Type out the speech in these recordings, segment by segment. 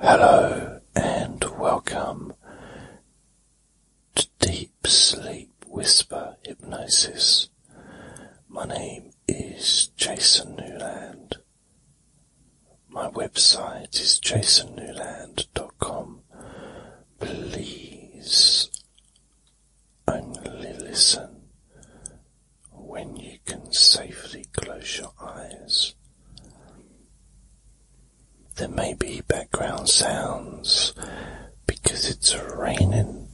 Hello and welcome to Deep Sleep Whisper Hypnosis. My name is Jason Newland. My website is jasonnewland.com. Please only listen when you can safely close your eyes. There may be background sounds because it's raining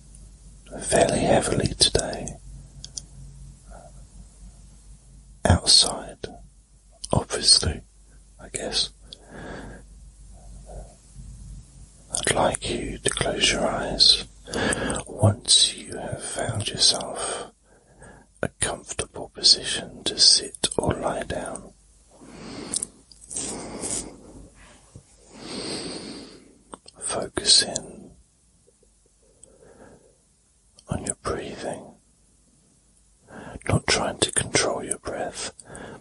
fairly heavily today outside, obviously, I guess. I'd like you to close your eyes once you have found yourself a comfortable position to sit or lie down. Focus in on your breathing, not trying to control your breath,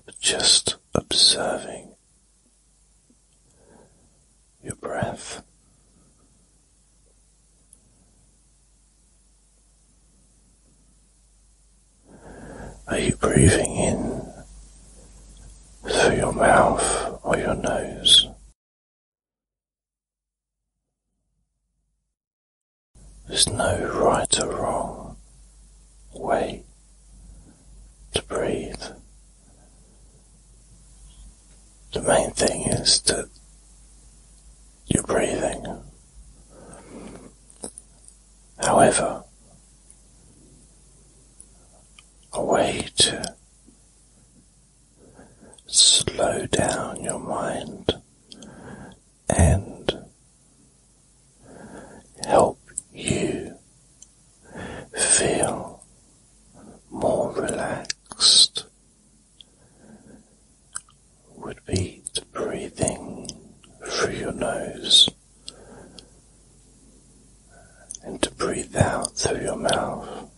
but just observing your breath. Are you breathing in through your mouth or your nose? There's no right or wrong way to breathe. The main thing is to. You're breathing. However, a way to slow down your mind and help you feel more relaxed would be the breathing through your nose and to breathe out through your mouth.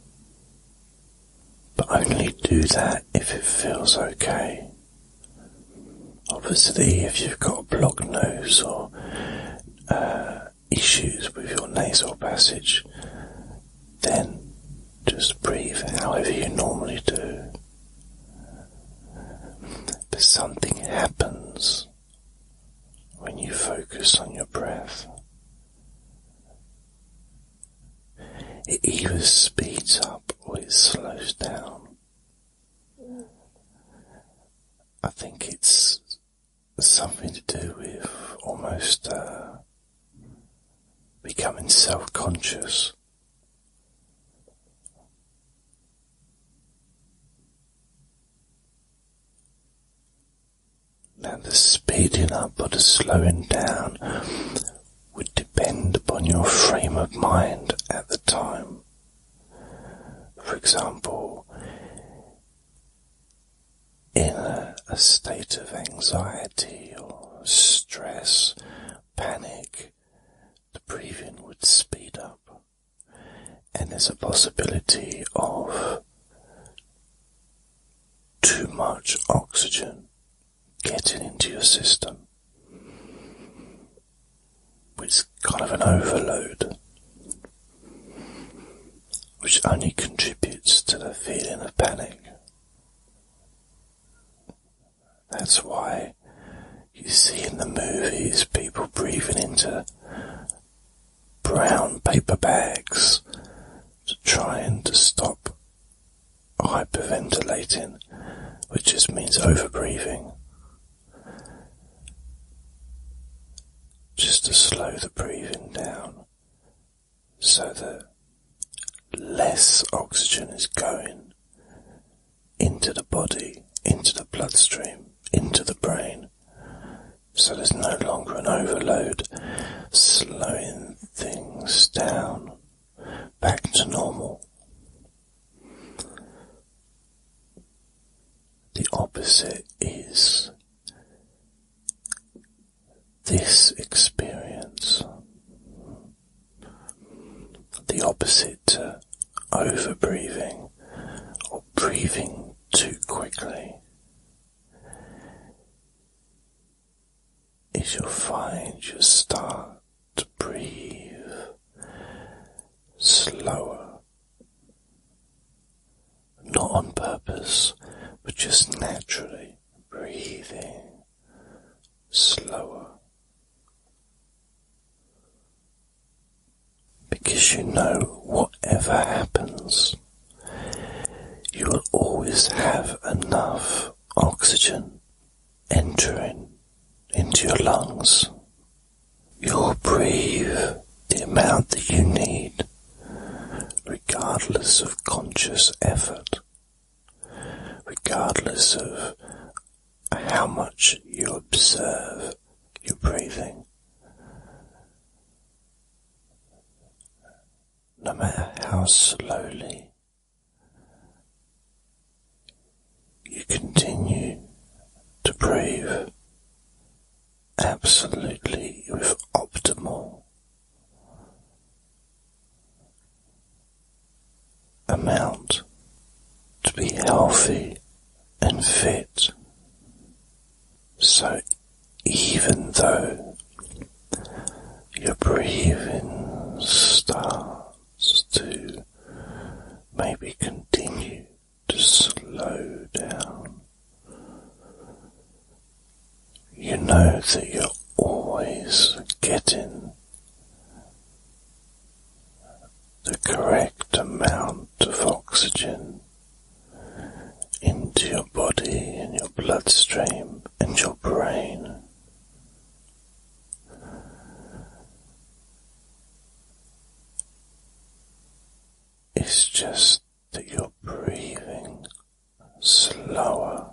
But only do that if it feels okay. Obviously, if you've got a blocked nose or uh, issues with your nasal passage, then just breathe however you normally do. But something happens when you focus on your breath. It either speeds up or it slows down. I think it's something to do with almost uh, becoming self conscious. Now, the speeding up or the slowing down would depend upon your frame of mind at the time. For example, in a, state of anxiety or stress, panic, the breathing would speed up. And there's a possibility of too much oxygen getting into your system. which is kind of an overload, which only contributes to the feeling of panic. That's why you see in the movies people breathing into brown paper bags to try and to stop hyperventilating, which just means overbreathing. Just to slow the breathing down so the less oxygen is going into the body, into the bloodstream, into the brain. So there's no longer an overload, slowing things down back to normal. The opposite is this experience. The opposite to overbreathing or breathing too quickly is you'll find you start to breathe slower, not on purpose, but just naturally breathing slower. Because you know, whatever happens, you will always have enough oxygen entering into your lungs. You'll breathe the amount that you need, regardless of conscious effort regardless of how much you observe your breathing. No matter how slowly you continue to breathe absolutely with optimal amount to be healthy and fit. So even though your breathing starts to maybe continue to slow down, you know that you're always getting the correct amount of oxygen into your body and your bloodstream and your brain. It's just that you're breathing slower.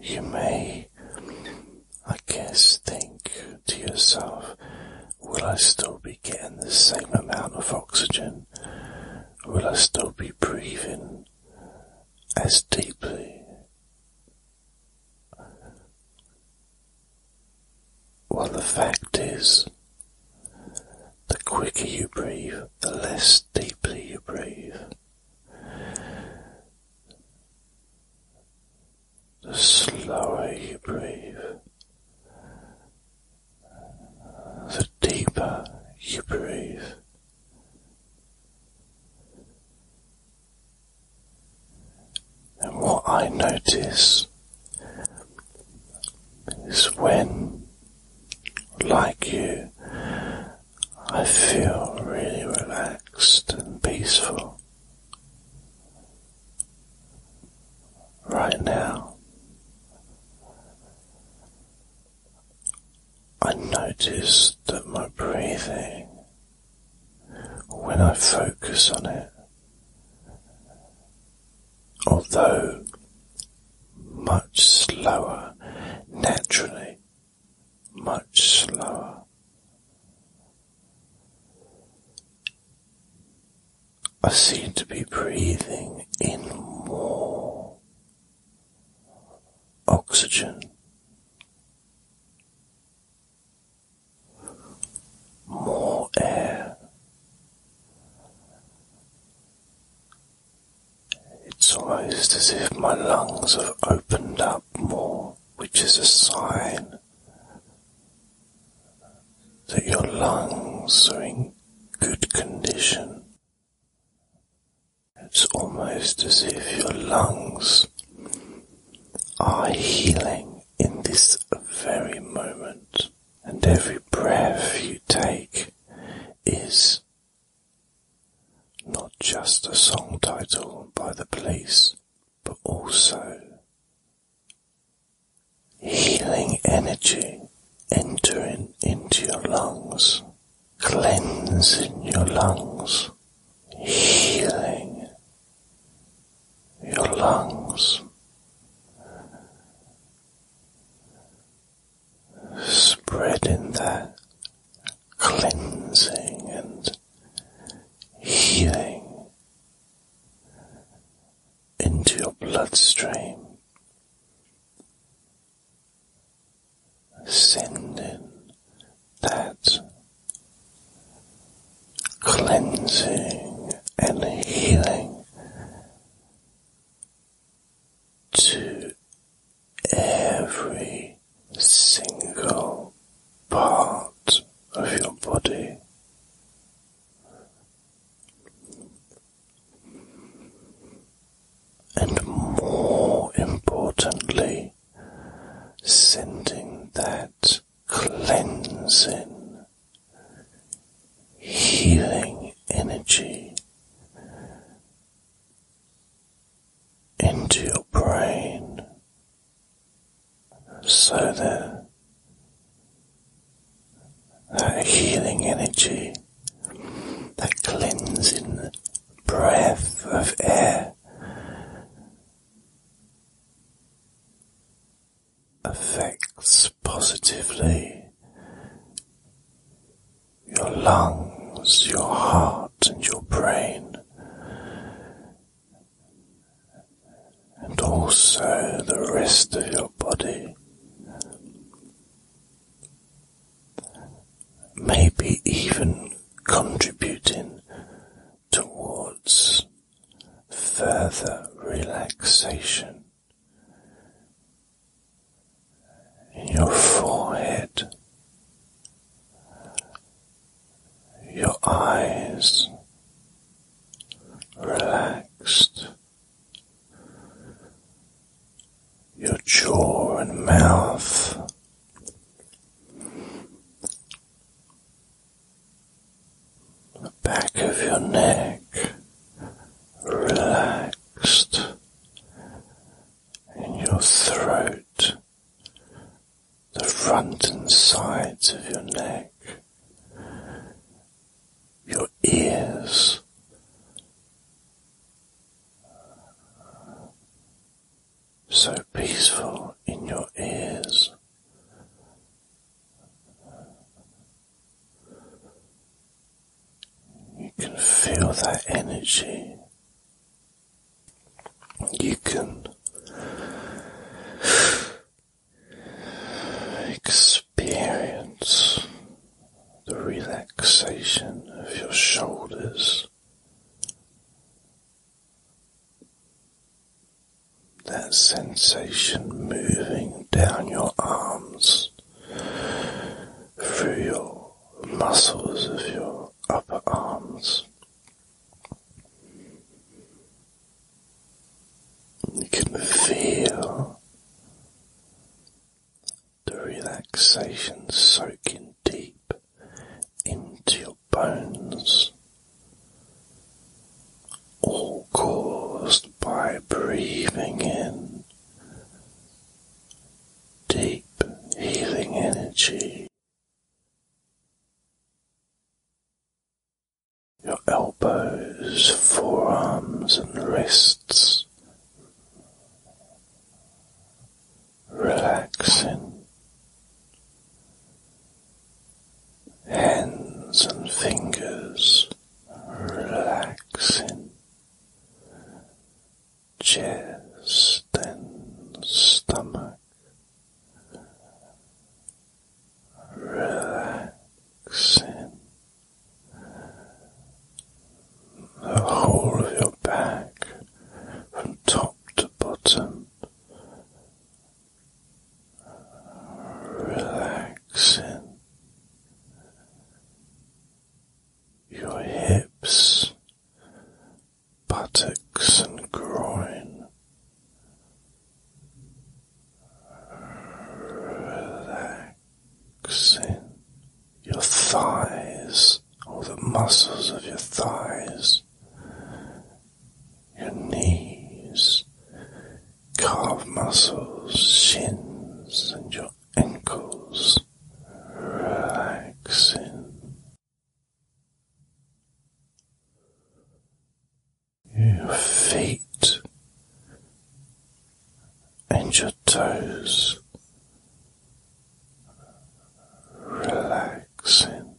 You may, I guess, think to yourself, will I still be getting the same amount of oxygen? Will I still be breathing as deeply? Well, the fact is, the quicker you breathe, the less deeply you breathe. The slower you breathe, the deeper you breathe. And what I notice is when, like you, I feel really relaxed and peaceful. Right now, I notice that my breathing, when I focus on it, although much slower, naturally, much slower. I seem to be breathing in more oxygen more air. It's almost as if my lungs have opened up more, which is a sign that your lungs are in good condition. It's almost as if your lungs are healing in this very moment, and every breath you take is not just a song title by the police, but also healing energy entering into your lungs, cleansing your lungs, healing your lungs, spreading that cleansing and healing into your bloodstream. Sending that cleansing and healing to every single part of your body. And more importantly, sending that cleansing, healing energy into your brain so that that healing energy, that cleansing breath of air affects positively your lungs, your heart, and your brain, and also the rest of your body. Maybe even contributing towards further relaxation your forehead, your eyes relaxed, your jaw and mouth the back of your neck relaxed in your throat, the front and sides of your neck, your ears. So peaceful in your ears, you can feel that energy. You can experience the relaxation of your shoulders that sensation moving down your arms, through your muscles of your upper arms. You can feel the relaxation soaking deep into your bones all caused by breathing in deep healing energy. Your elbows, forearms, and wrists relaxing hands and fingers relaxing, chest and stomach relaxing, the whole of your back from top to bottom relaxing your hips, buttocks, and groin. Relaxing your thighs, all the muscles of your thighs, your knees, calf muscles, shins, and your ankles relaxing. Your feet and your toes relaxing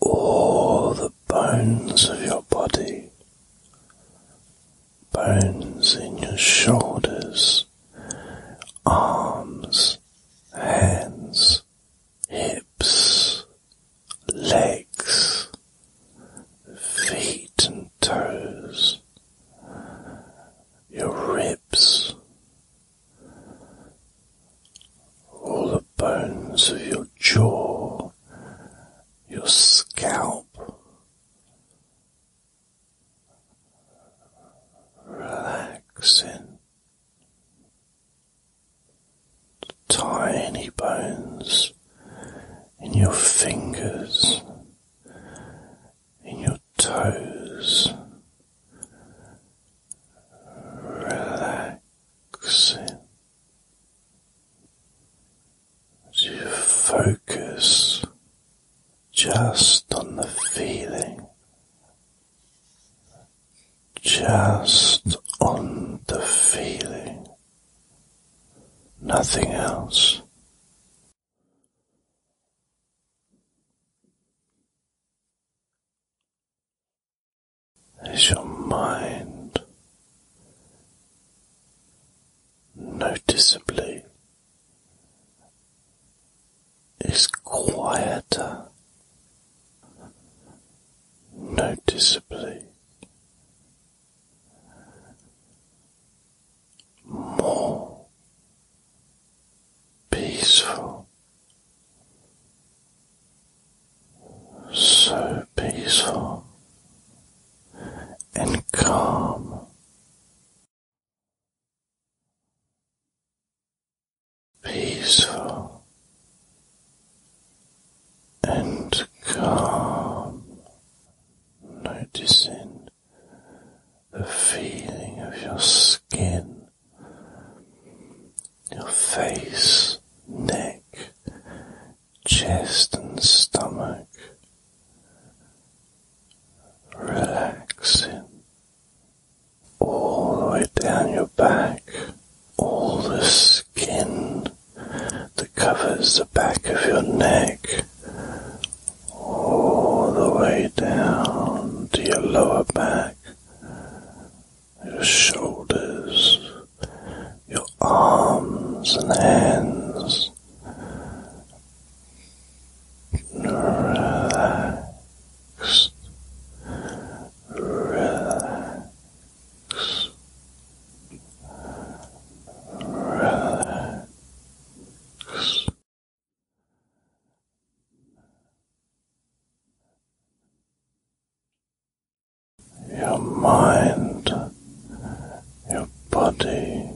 all the bones of your body, bones in your shoulders, arms, hands, hips, legs, feet and toes, your ribs, all the bones of your jaw, your scalp. Relaxing the tiny bones in your fingers, in your toes, relaxing so you focus just on the feeling, just on the feeling, nothing else as your mind noticeably is quieter, noticeably more peaceful so peaceful and calm. Peaceful and calm, noticing the feeling of your skin your face, neck, chest, and stomach, relaxing all the way down your back, all the skin that covers the back of your neck, all the way down to your lower back your shoulders, your arms and hands. Relax, relax, relax your mind, your body,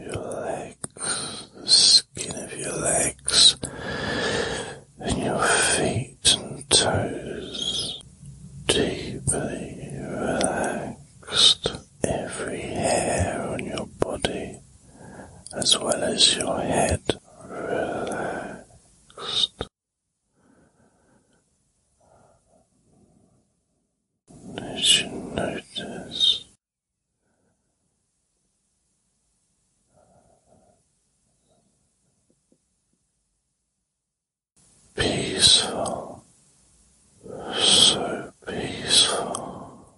your legs, the skin of your legs, and your feet and toes, deeply relaxed, every hair on your body as well as your head relaxed. As you notice peaceful, so peaceful.